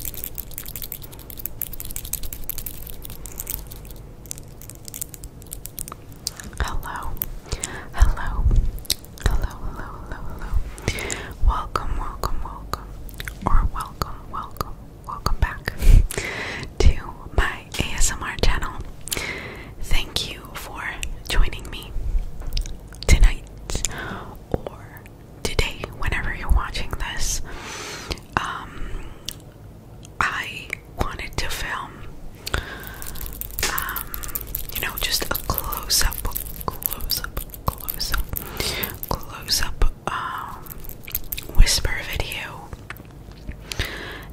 Hello, hello, hello, hello, hello, hello. Welcome, welcome, welcome, or welcome, welcome, welcome back to my ASMR channel. Thank you for joining me tonight or today, whenever you're watching this, um, I wanted to film, um, you know, just a close up, close up, close up, close up, um, whisper video.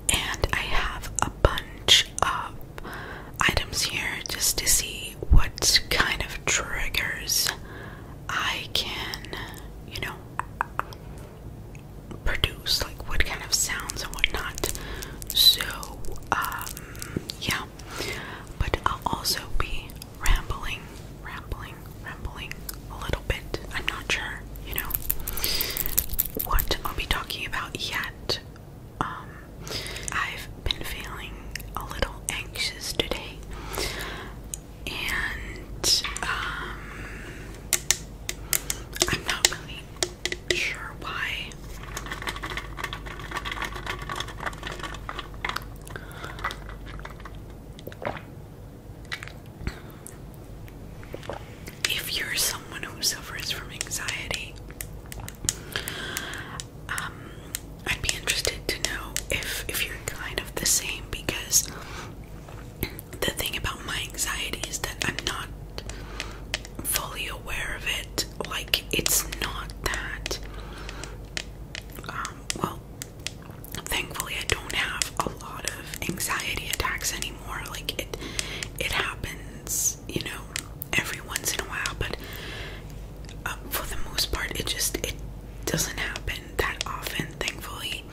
And I have a bunch of items here just to see what kind of triggers I can, you know, produce like what kind of sounds and whatnot. So, um, yeah. But I'll also be rambling, rambling, rambling a little bit. I'm not sure, you know, what I'll be talking about yet. Um, I've been feeling a little anxious today and um, I'm not really sure why. If you're someone who suffers from anxiety, um, I'd be interested to know if if you're kind of the same because the thing about my anxiety is that I'm not fully aware of it. Like it's not that. Um, well, thankfully I don't have a lot of anxiety attacks anymore. Like it, it happens, you know, every once in a while, but um, for the most part, it just it doesn't happen that often, thankfully.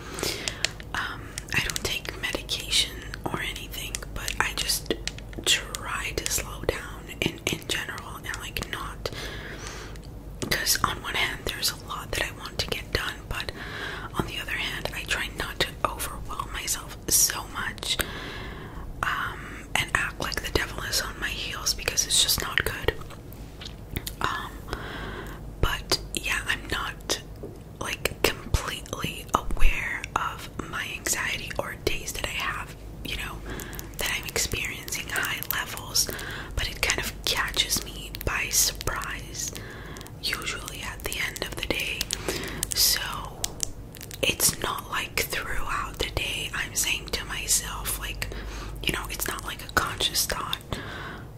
Um, I don't take medication or anything, but I just try to slow down in in general and like not because on one hand there's a lot that I want to get done, but on the other hand, I try not to overwhelm myself so much um, and act like the devil is on my heels because it's just not good. Um, but yeah, I'm not like completely aware of my anxiety or days that I have, you know, that I'm experiencing high levels, but it kind of catches me by surprise, usually at the end of the day. So it's not like throughout the day I'm saying to myself, like, you know, it's not like conscious thought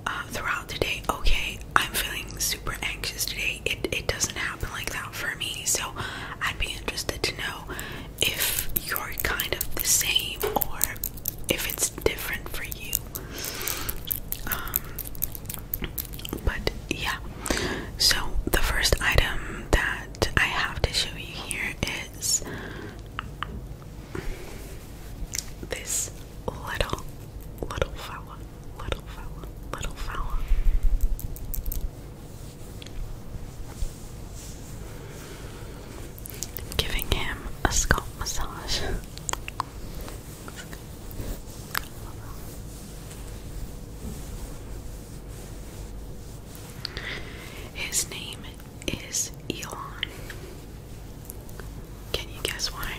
uh, throughout the day. Okay, I'm feeling super anxious today. It it doesn't happen like that for me. So I'd be interested to know if you're kind of the same or if it's different for you. Um, but yeah. So the first item that I have to show you here is this little, little fella, little fella, little fella. Giving him a scalp massage. His name is Elon. Can you guess why?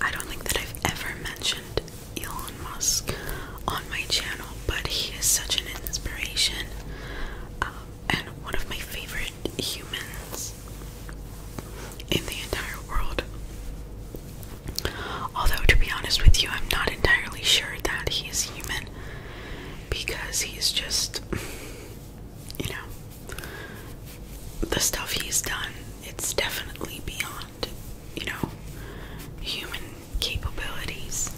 I don't think that I've ever mentioned Elon Musk on my channel, but he is such an inspiration um, and one of my favorite humans in the entire world. Although, to be honest with you, I'm not entirely sure that he is human because he's just, you know, the stuff he's done, it's definitely beyond, you know, human capabilities.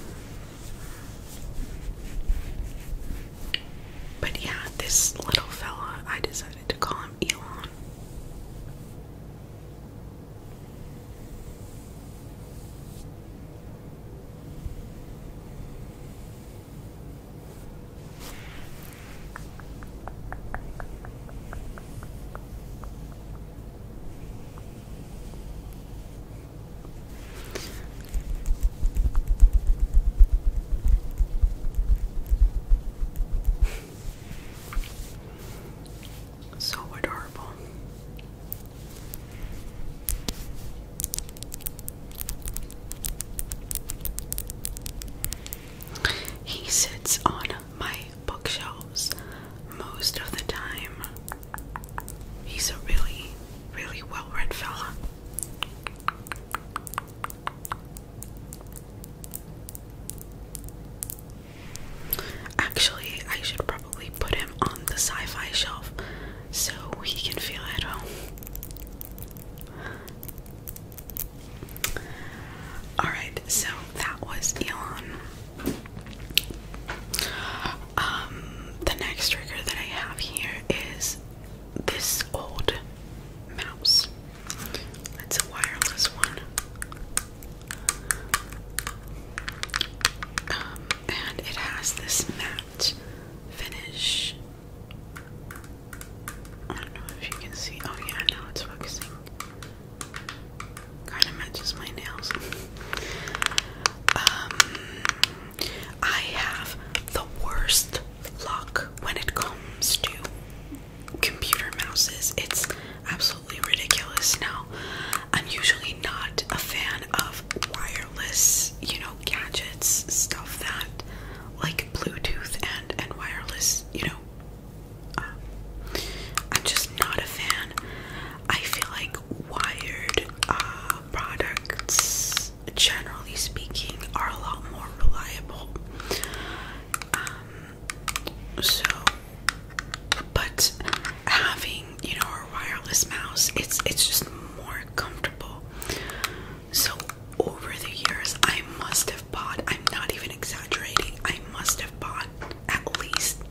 But yeah, this little fella, I decided to call him Elon so adorable. He sits on my bookshelves most of the time. He's a really, really well read fellow. Actually, I should probably probably put him on the sci fi shelf so he can feel at home. Alright, so that was Elon. Um, the next trigger that I have here is this old mouse. It's a wireless one. Um, and it has this finish. I don't know if you can see. Oh, yeah, now it's focusing. Kind of matches my nails. um, I have the worst luck when it comes to computer mice. It's absolutely ridiculous now. I'm usually not a fan of wire you know, gadgets, stuff that like Bluetooth and and wireless, you know. Um, I'm just not a fan. I feel like wired uh, products, generally speaking, are a lot more reliable. Um, so, but having you know, or wireless mouse. It's it's just more comfortable. So over the years, I must have bought. I'm not even exaggerating. I must have bought at least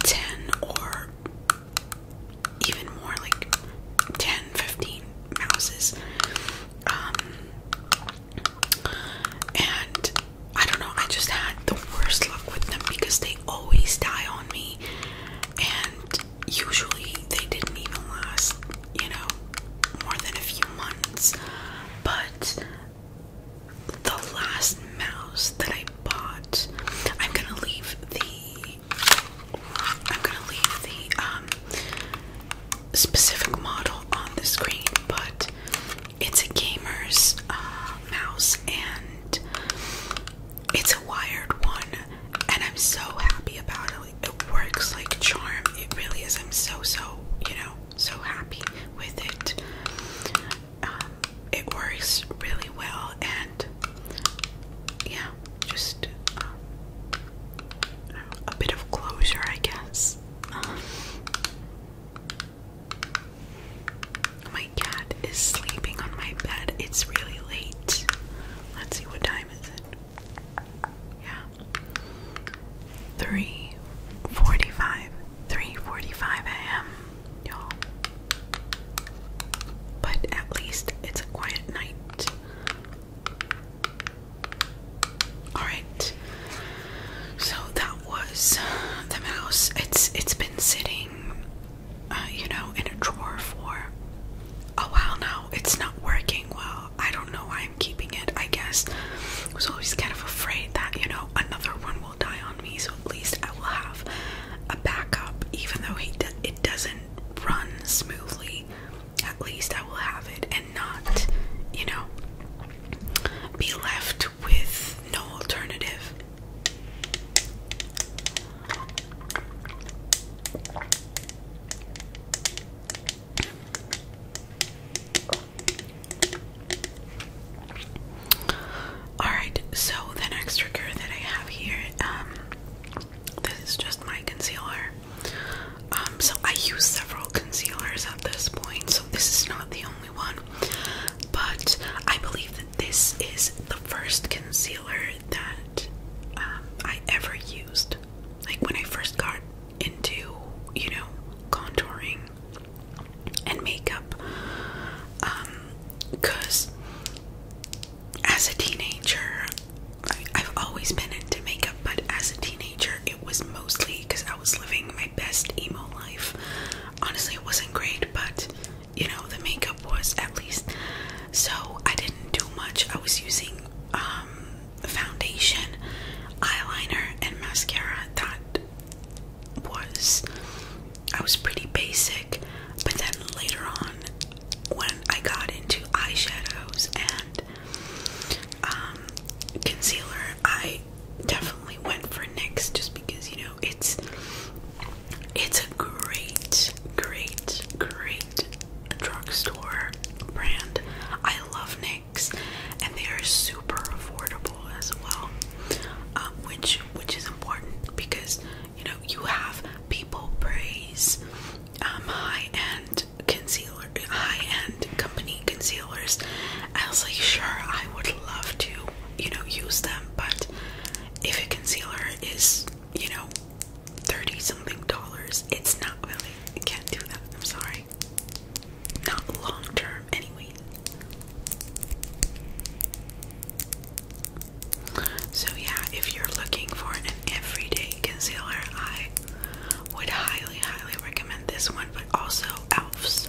ten or even more, like 10, 15 mouses. Um, and I don't know. I just had the worst luck with them because they always die on me, and usually they didn't even last, you know, more than a few months. But the last mouse that I bought, I'm gonna leave the I'm gonna leave the um specific model on the screen, but it's a gamer's uh, mouse and it's a wired one and I'm so happy about it. it works like charm. It really is. I'm so so, you know, so happy with it. Um, it works really well and yeah, just uh, a bit of closure, I guess. Oh my cat is sleeping on my bed. It's really late. Let's see what time is it. Yeah. 3:45. 3:45 a.m. Y'all. But at least it's a quiet night. All right. So that was the mouse. It's it's been sitting uh, you know, in a drawer for a while now. It's not working well. I don't know why I'm keeping it, I guess. I was always kind of afraid that, you know, another one will die on me, so at least I will have a backup, even though he do it doesn't run smoothly. At least I will have it and not, you know, be left with no alternative. Alright, so the next trigger that I have here, um, this is just my concealer. Um, so I use several concealers at this point, so this is not the only one. But I believe that this is the first concealer that um, I ever used. Like when I first got into, you know, contouring and makeup. Because um, as a teenager, I've always been into makeup, but as a teenager, it was mostly because I was living my best emo life. Honestly, it wasn't great, but you know, the makeup was at least. So I didn't do much. I was using um, foundation, eyeliner, and mascara. That was, I was pretty basic. But then later on, when I got into eyeshadows and um, concealer, I definitely went for NYX just because you know it's it's a great, great, great drugstore brand. I love NYX and they are super affordable as well. Um, which which is important because you know you have people praise um, high-end concealer high-end company concealers. I was like sure I would love to you know, use them, but if a concealer is, you know, 30 something dollars, it's not really, I can't do that, I'm sorry. Not long term, anyway. So, yeah, if you're looking for an everyday concealer, I would highly, highly recommend this one, but also ELF's.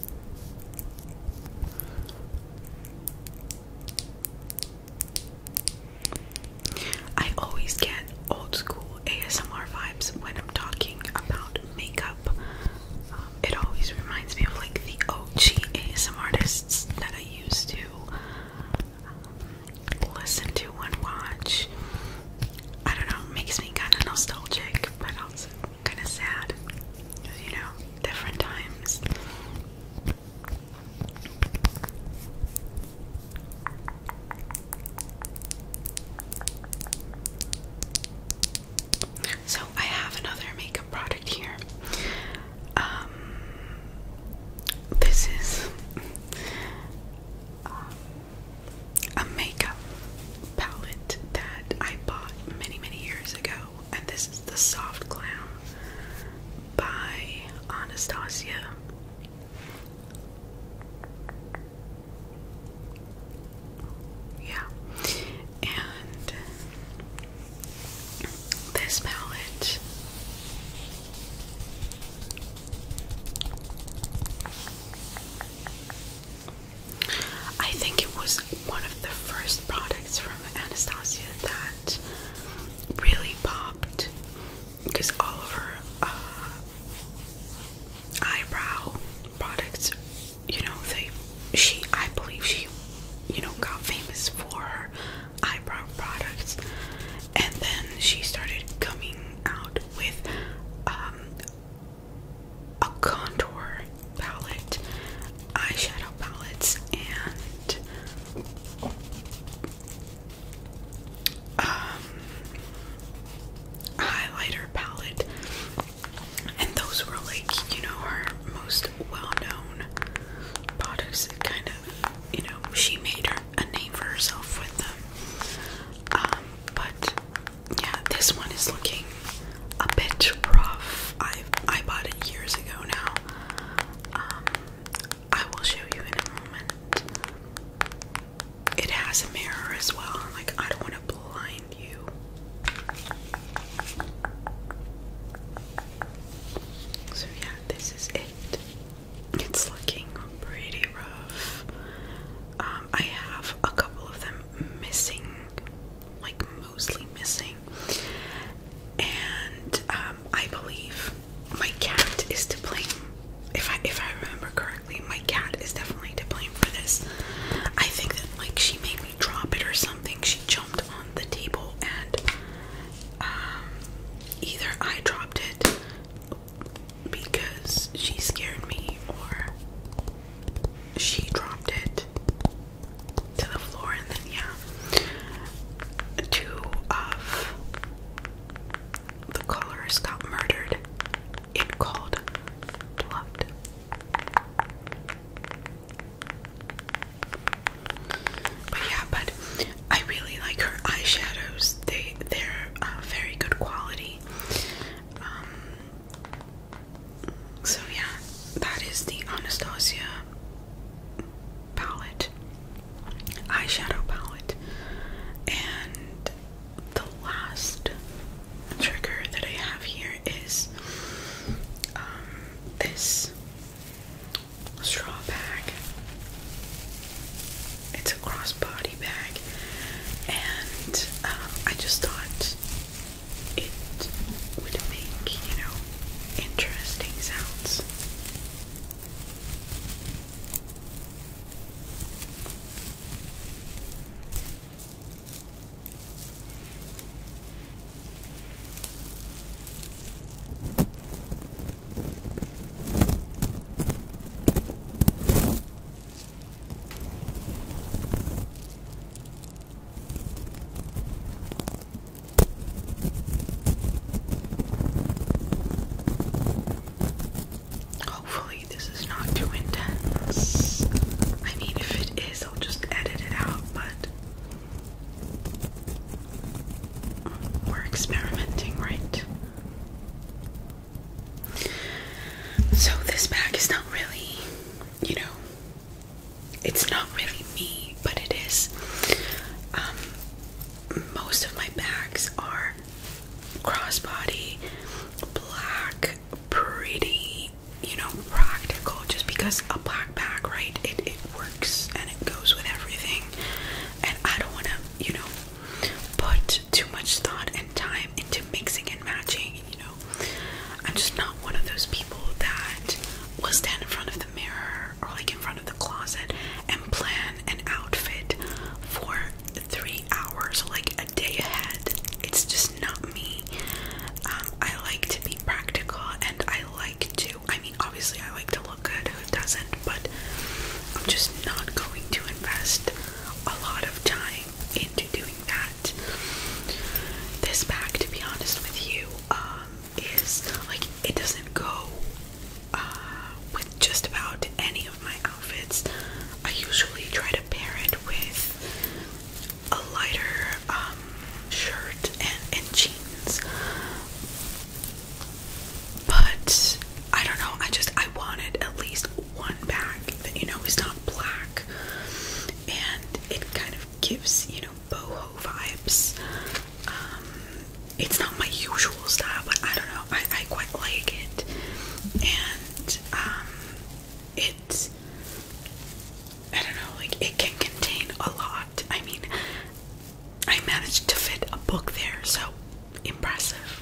I always get old school ASMR vibes when I'm talking about makeup. Um, it always reminds me of like the OG ASMR artists that I used to um, listen to and watch. I don't know, it makes me kind of nostalgic, but also kind of sad. You know, different times. So I have another makeup product here. Um, this is um, a makeup palette that I bought many, many years ago, and this is the Soft Clown by Anastasia. Yeah, and this palette I think it was one of the first products from Anastasia that really popped because all of her uh, eyebrow products, you know, they she I believe she you know got famous for her eyebrow products, and then she started coming out with um, a contour palette, eyeshadow palettes, and um, highlighter palette. And those were like, you know, her most well known products that kind of, you know, she made her, a name for herself with them. Um, but yeah, this one is looking a bit rough. I I bought it years ago now. Um, I will show you in a moment. It has a mirror as well. Like I don't want to blind you. So yeah, this is it. It's looking pretty rough. Um, I have a couple of them missing, like mostly missing, and um, I believe my cat is to blame. If I if I remember correctly, my cat is definitely to blame for this. I think that like she made me drop it or something. She jumped on the table and um, either I dropped it because she scared me or she dropped it to the floor and then yeah two of the colors got murdered in cold blood but yeah but I really like her eyeshadows they they're uh, very good quality um so yeah, that is the Anastasia palette, eyeshadow palette, and the last trigger that I have here is um, this straw bag. It's a crossbody bag, and uh, I just thought it would make, you know, interesting sounds. Hopefully, this is not too intense. I mean, if it is, I'll just edit it out, but. We're experimenting, right? So this bag is not really, you know, it's not really me, but it is. Um, most of my bags are crossbody, black, pretty, you know, practical. Just because a black bag, right? It it works and it goes with everything. And I don't want to, you know, put too much thought and time into mixing and matching, you know. I'm just not one of those people that will stand in front of the mirror or like in front of the closet and plan an outfit for three hours, like a day ahead. It's just not me. Um, I like to be practical and I like to, I mean, obviously, I like to look good, who doesn't? But I'm just not going to invest a lot of time into doing that. This bag, to be honest with you, um, is like it doesn't go uh, with just about any of my outfits. I usually try to pair it with a lighter um, shirt and, and jeans, but I don't know. I just I wanted at least one back that you know is not black, and it kind of gives you know boho vibes. Um, it's not my usual style, but I don't know. I, quite like it, and um, I don't know. Like it can contain a lot. I mean, I managed to fit a book there, so impressive.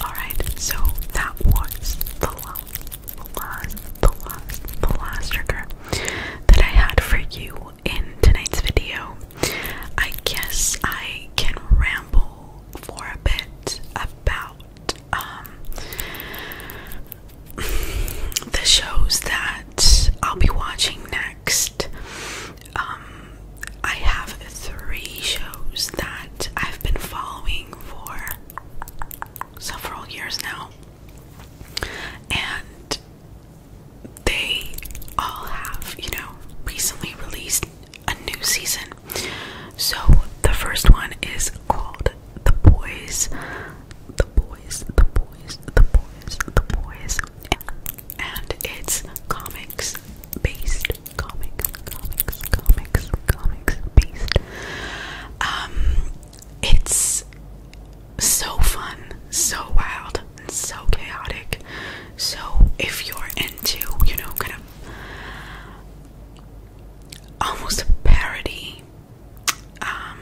Alright, so that was the last, the last, the last, the last trigger that I had for you in tonight's video. I guess I can ramble for a bit about um, the shows that I'll be watching next. Um, I have three shows that I've been following for several years now. And they all have, you know, recently released a new season. So the first one is called The Boys. The Boys, The Boys, The Boys, The Boys. And it's comics based. Comics, comics, comics, comics based. Um, it's so fun, so wild, and so chaotic. So if you're into, you know, kind of almost a parody um,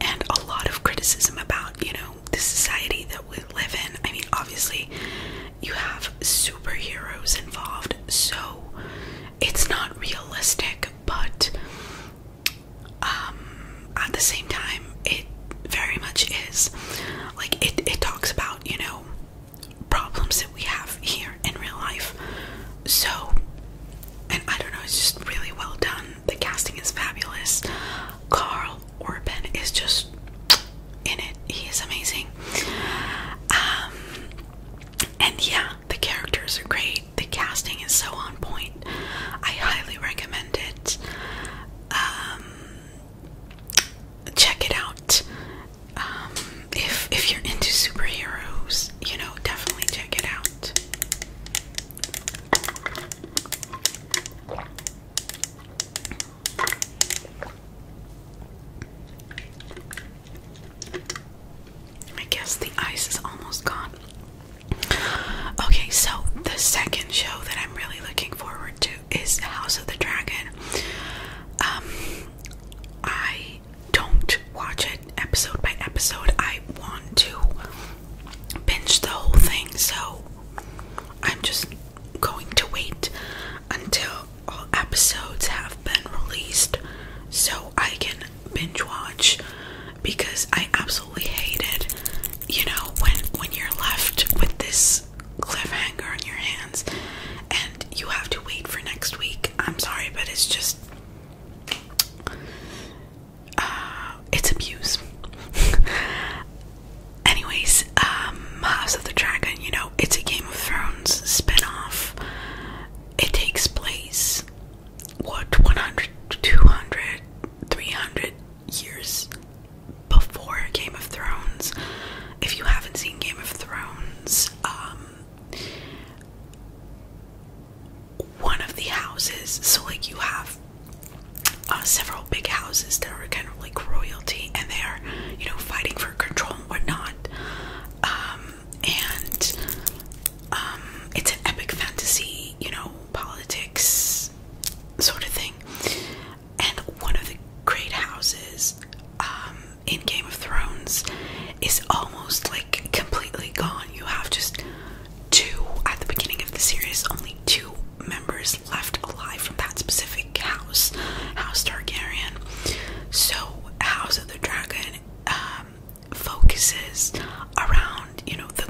and a lot of criticism about, you know, the society that we live in. I mean, obviously, you have superheroes involved, so it's not realistic, but um, at the same time, it very much is. Like, it, it talks about, you know, problems that we have here in real life. So, and I don't know, it's just really well done. The casting is fabulous. Carl Urban is just in it. He is amazing. Um, and yeah, the characters are great. The casting is so on point. I highly recommend it. Um, check it out. Um, if if you're into superheroes, you know, definitely check it out. I guess the ice is almost gone. Okay, so the second show that I'm really looking forward to is House of the Dragon. Um, I don't watch it episode by episode. I want to binge the whole thing, so I'm just going to wait until all episodes have been released so I can binge watch because I absolutely hate it. You know, when when you're left with this this cliffhanger on your hands and you have to wait for next week. I'm sorry, but it's just uh, it's abuse. Anyways, um, House of the Dragon, you know, it's a Game of Thrones spin-off. It takes place what 100, 200, 300 years before Game of Thrones. If you haven't seen Game of Thrones, um, one of the houses, so like you have uh, several big houses that are kind of like royalty and they are, you know, fighting for control and whatnot. Um, and um, it's an epic fantasy, you know, politics sort of thing and one of the great houses um, in Game of Thrones is almost like completely gone. You have just two at the beginning of the series, only two members left alive from that specific house, House Targaryen. So, House of the Dragon um, focuses around you know the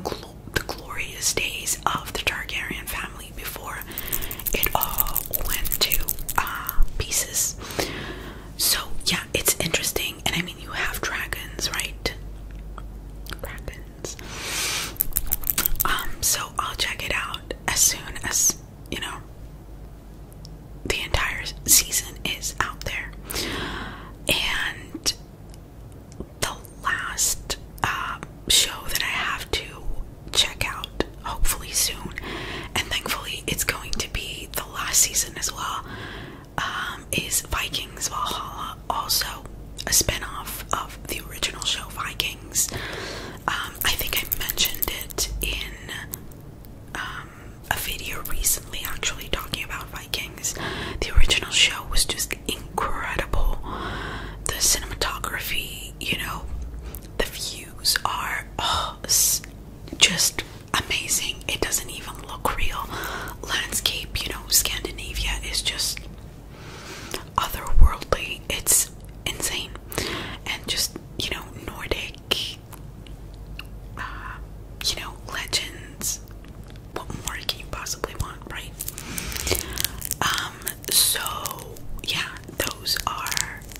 the glorious days of the Targaryen family before it all went to uh, pieces. So, yeah, it's interesting. And I mean, you have dragons, right? Dragons. Um, so I'll check it out as soon as, you know, the entire season is out there. And the last uh, show that I have to check out hopefully soon. And thankfully, it's going to be the last season as well. Um, is Vikings Valhalla also a spinoff of the original show Vikings? Um, I think I mentioned it in um, a video recently, actually talking about Vikings. The original show was just incredible. The cinematography, you know, the views are oh, just amazing. It doesn't even look real. Landscape, you know, Scandinavia is just otherworldly. It's insane. And just, you know, Nordic, uh, you know, legends. What more can you possibly want, right? Um, so, yeah, those are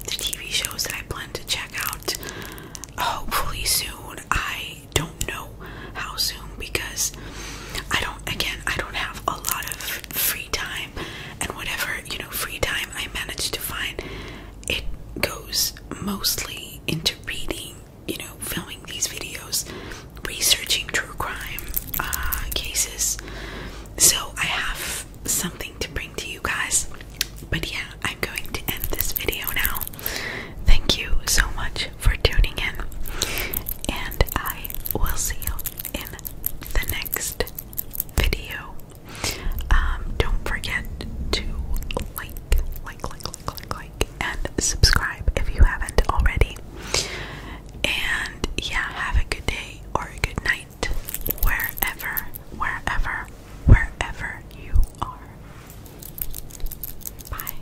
the TV shows that I plan to check out hopefully soon. I don't know how soon because I don't, again, I don't have a lot of free time, and whatever, you know, free time I manage to find, it goes mostly into reading, you know, filming these videos, researching true crime uh, cases. So I have something to bring to you guys. But yeah, I'm going to end this video now. Thank you so much for tuning in, and I will see you in the next video. Um, don't forget to like, like, like, like, like, like, and subscribe if you haven't already. And yeah, have a good day or a good night wherever, wherever, wherever you are. Bye.